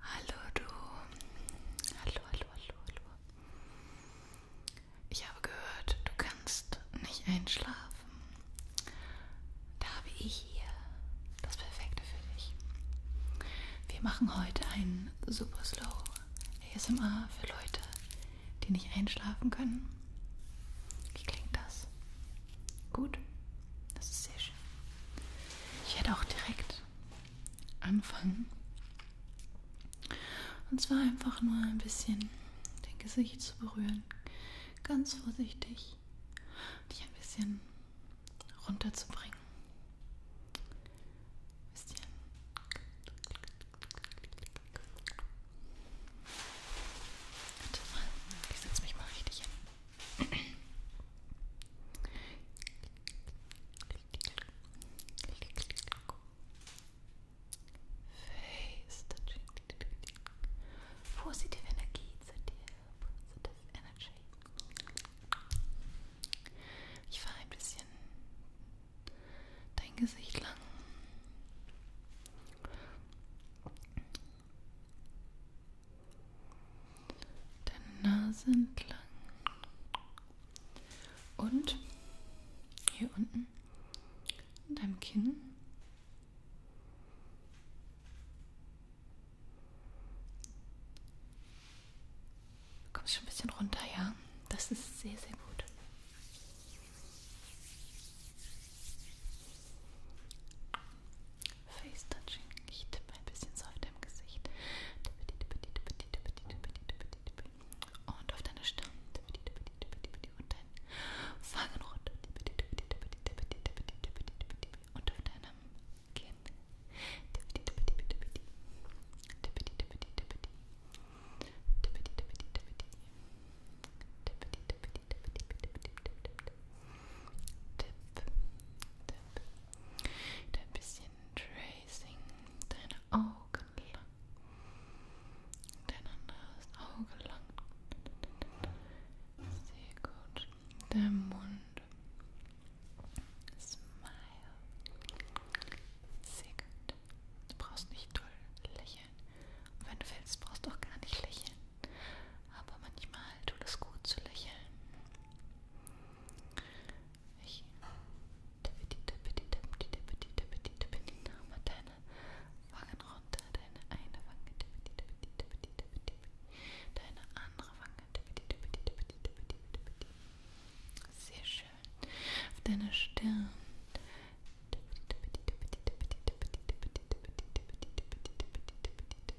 Hallo du. Hallo, hallo, hallo, hallo. Ich habe gehört, du kannst nicht einschlafen. Da habe ich hier das Perfekte für dich. Wir machen heute einen Super Slow ASMR für Leute, die nicht einschlafen können. Wie klingt das? Gut? Das ist sehr schön. Mensch, ich werde auch direkt anfangen. Und zwar einfach nur ein bisschen dein Gesicht zu berühren. Ganz vorsichtig. Dich ein bisschen runterzubringen. Ein bisschen. Warte mal. Ich setze mich mal richtig hin. Face touching. Positive Energie, ZDF, Positive Energy. Ich fahre ein bisschen dein Gesicht lang. Deine Nase entlang. Und hier unten in deinem Kinn. Du kommst schon ein bisschen runter, ja? Das ist sehr, sehr gut. Face Touching, ich tippe ein bisschen sanft im Gesicht und auf deine Stirn und dein Fangen runter und auf deinem Kinn Tippity, tippity, tippity. Tippity, tippity, tippity. Tippity, tippity, bitte, bitte, bitte, bitte, bitte, bitte. Tipp, Tipp. Wieder ein bisschen Tracing deine Augen lang. Dein anderes Auge lang. Sehr gut. Der Mund. Smile. Sehr gut. Du brauchst nicht doll lächeln. Und wenn du willst, brauchst du auch gar nicht lächeln aber manchmal tut es gut zu lächeln. Ich mache deine Wangen runter, deine eine Wange, deine andere Wange, sehr schön, auf deiner Stirn. Deine Stirn.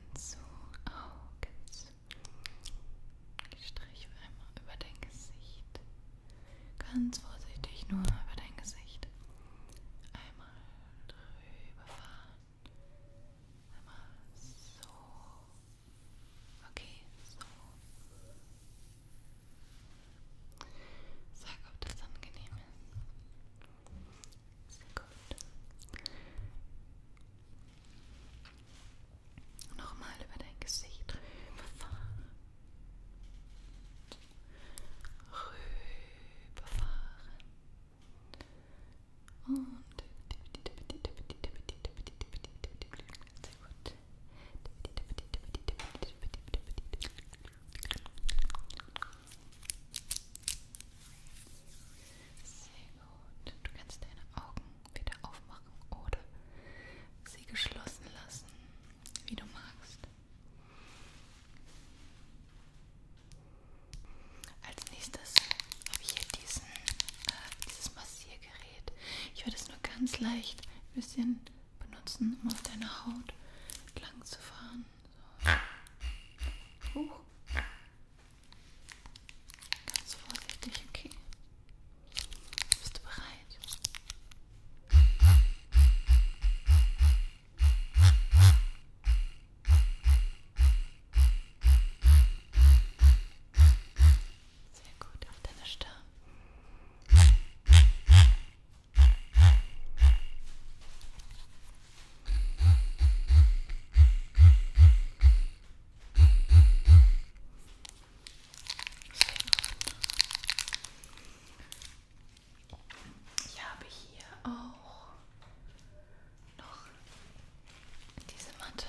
Augen zu, Augen zu. Ich streiche einmal über dein Gesicht. Ganz vorsichtig nur über dein Gesicht. Einmal drüber fahren. Einmal so. Okay, so. Sag, ob das angenehm ist. Sehr gut. Nochmal über dein Gesicht rüberfahren. Rüberfahren. Und sehr gut. Sehr gut. Du kannst deine Augen wieder aufmachen oder sie geschlossen lassen, wie du magst. Als nächstes habe ich hier diesen, äh, dieses Massiergerät. Ich werde es nur ganz leicht ein bisschen benutzen, um auf deiner Haut lang zu fahren. So. Huch. Ganz vorsichtig, okay. Bist du bereit? Sehr gut, auf deine Stirn. Ich habe hier auch noch diese Matte.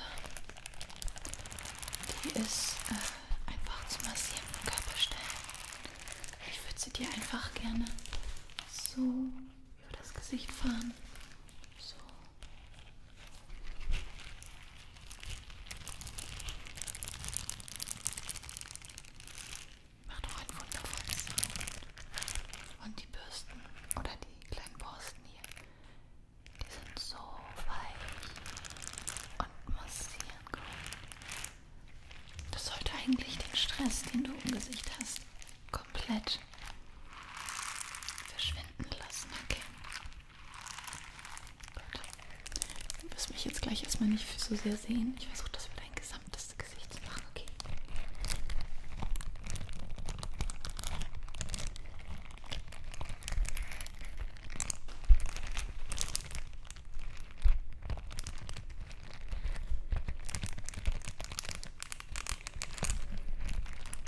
Die ist äh, einfach zu massieren Körperstellen. Ich würde sie dir einfach gerne so über das Gesicht fahren. So. Macht doch ein wundervolles Sound. Und die Bürsten oder die kleinen Borsten hier, die sind so weich und massieren gut. Das sollte eigentlich den Stress, den du im Gesicht hast, komplett verschwinden lassen, okay? Gut. Du wirst mich jetzt gleich erstmal nicht so sehr sehen. Ich versuche das für dein gesamtes Gesicht zu machen, okay?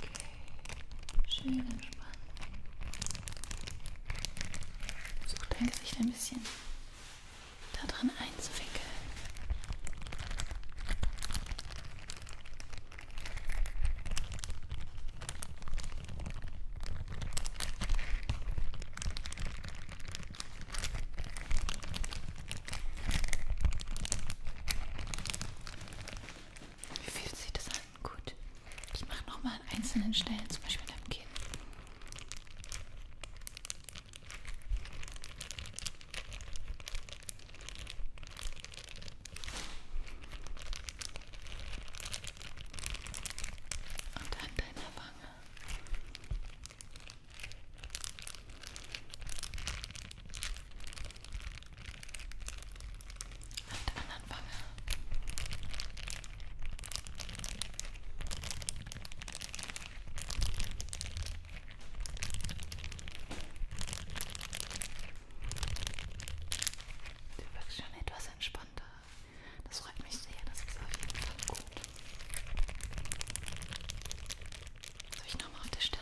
Okay. Schön entspannen. Versuch dein Gesicht ein bisschen da drin einzuwickeln. Wie fühlt sich das an? Gut. Ich mache nochmal an einzelnen Stellen, zum Beispiel an deinem Kinn. Und an deiner Wange. An der anderen Wange. Du wirkst schon etwas entspannter. Das freut mich sehr, das ist auf jeden Fall gut. Soll ich nochmal auf der Stirn?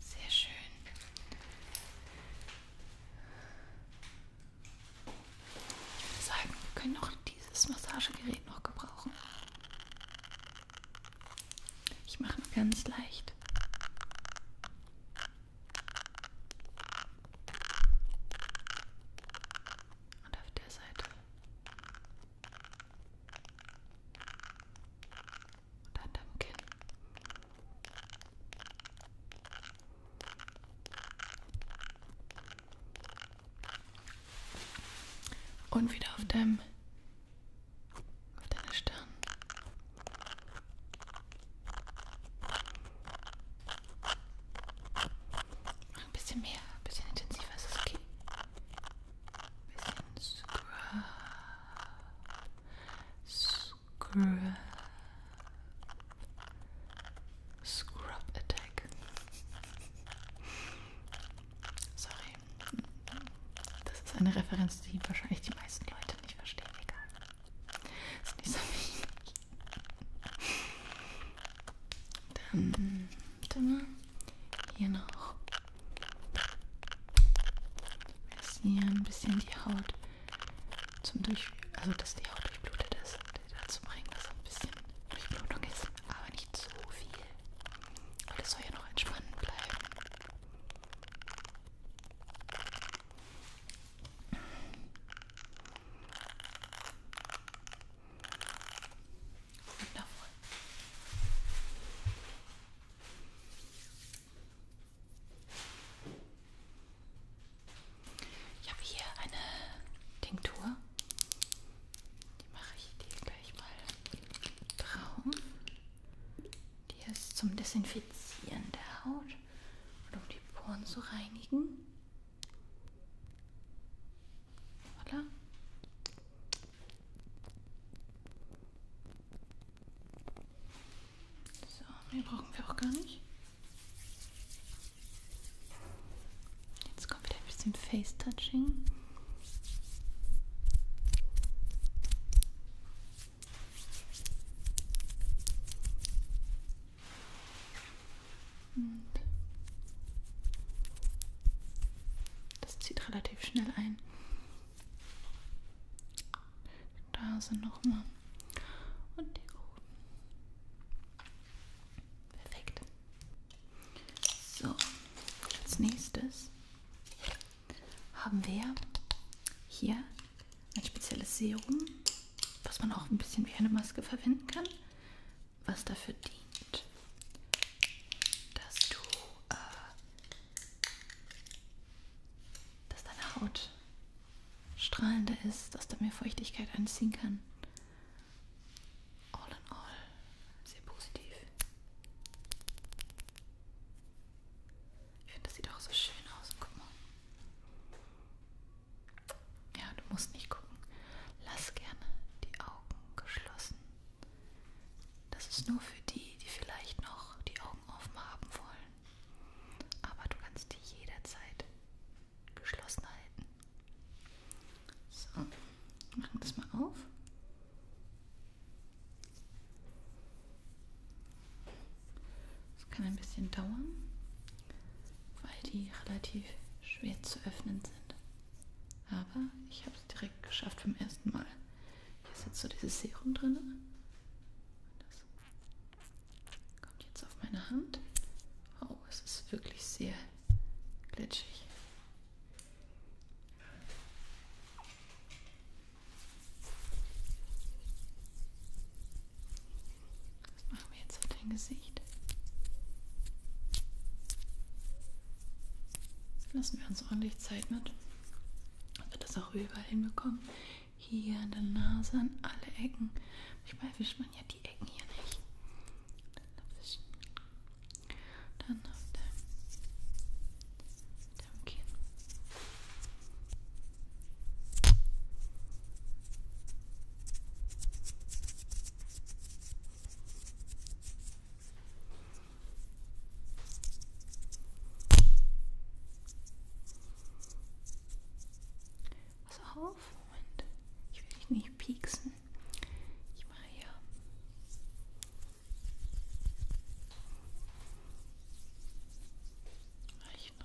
Sehr schön. Ich würde sagen, wir können noch dieses Massagegerät noch gebrauchen. Ich mache nur ganz leicht. Und auf der Seite. Und an deinem Kinn. Und wieder auf deinem auf deiner Stirn. Ein bisschen mehr, ein bisschen intensiver ist es okay. Ein bisschen scrub. Scrub. Scrub Attack. Sorry. Das ist eine Referenz, die wahrscheinlich die meisten Leute nicht verstehen. Egal. Ist nicht so wichtig. Dann, warte mal, hier noch. Wir müssen hier ein bisschen die Haut zum Durch... Also, dass die Haut durchblutet ist. Dazu bringen, dass ein bisschen Durchblutung ist. Aber nicht so viel. Aber das soll ja noch entspannend bleiben. Wundervoll. Ich habe hier eine Tinktur. Die mache ich dir gleich mal drauf. Die ist zum Desinfizieren der Haut und um die Poren zu reinigen. Voilà. So, mehr brauchen wir auch gar nicht. Jetzt kommt wieder ein bisschen Face-Touching. Und das zieht relativ schnell ein. Da sind nochmal. Und hier oben. Perfekt. So, als nächstes haben wir hier ein spezielles Serum, was man auch ein bisschen wie eine Maske verwenden kann was dafür dient, dass du äh, dass deine Haut strahlender ist, dass da mehr Feuchtigkeit anziehen kann. All in all sehr positiv. Ich finde, das sieht auch so schön aus. Guck mal. Ja, du musst nicht gucken. Lass gerne die Augen geschlossen. Das ist nur für die, die vielleicht noch die Augen offen haben wollen. Aber du kannst die jederzeit geschlossen halten. So, machen das mal auf. Das kann ein bisschen dauern weil die relativ schwer zu öffnen sind. Aber ich habe es direkt geschafft vom ersten Mal. Hier ist jetzt so dieses Serum drin. Das kommt jetzt auf meine Hand. Oh, es ist wirklich sehr glitschig. Was machen wir jetzt auf dein Gesicht? Lassen wir uns ordentlich Zeit mit. Dass wir das auch überall hinbekommen. Hier an der Nase, an alle Ecken. Manchmal erwischt man ja die Ecken hier nicht. Dann auf deinem, deinem Kinn. Pass auf, Moment. Ich will dich nicht pieksen. Ich mache hier. Reicht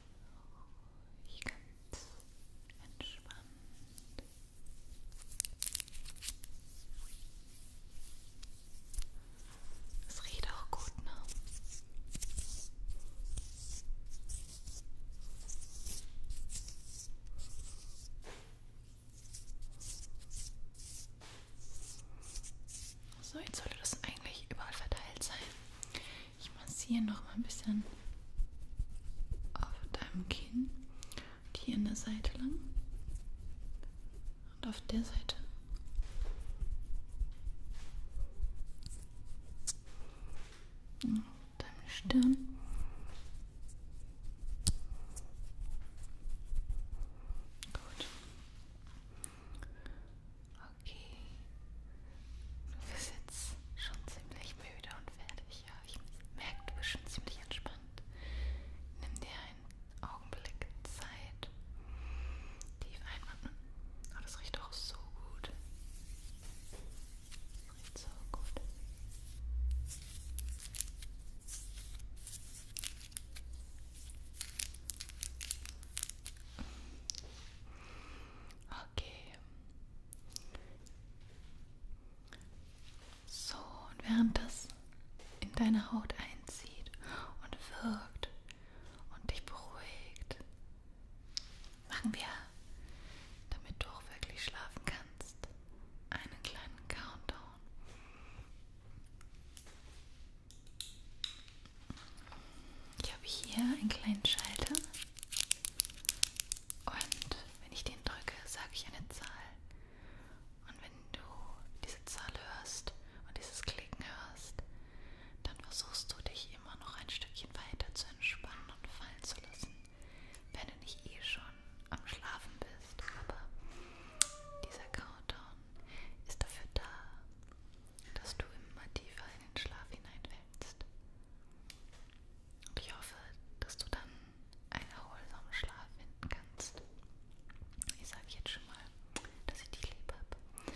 ruhig, ganz entspannt. Es riecht auch gut, ne? So, jetzt sollte das eigentlich überall verteilt sein. Ich massiere noch mal ein bisschen auf deinem Kinn und hier in der Seite lang und auf der Seite. Und deine Stirn. Gut. Okay. Du bist jetzt schon ziemlich müde und fertig. Ja, ich merke, du bist schon ziemlich entspannt. Nimm dir einen Augenblick Zeit. Tief einatmen. Hm? Oh, ah, das riecht auch so gut. Das riecht so gut. Okay. So, und während das in deine Haut einzieht und wirkt und dich beruhigt, machen wir, damit du auch wirklich schlafen kannst, einen kleinen Countdown. Ich habe hier einen kleinen Schalter und wenn ich den drücke, sage ich eine Zahl. Und wenn du diese Zahl hörst und dieses Klicken hörst, dann versuchst du dich immer noch ein Stückchen weiter zu entspannen und fallen zu lassen, wenn du nicht eh schon am Schlafen bist. Aber dieser Countdown ist dafür da, dass du immer tiefer in den Schlaf hineinfällst. Und ich hoffe, dass du dann einen erholsamen Schlaf finden kannst. Ich sage jetzt schon mal, dass ich dich lieb habe.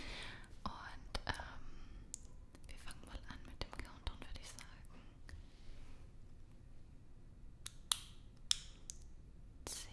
Und ähm, wir fangen mal an mit dem Countdown, würde ich sagen. 10,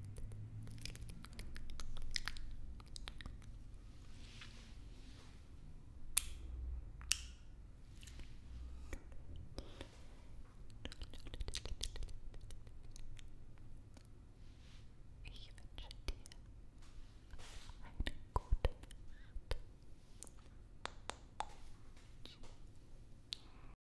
Ich wünsche dir eine gute Nacht.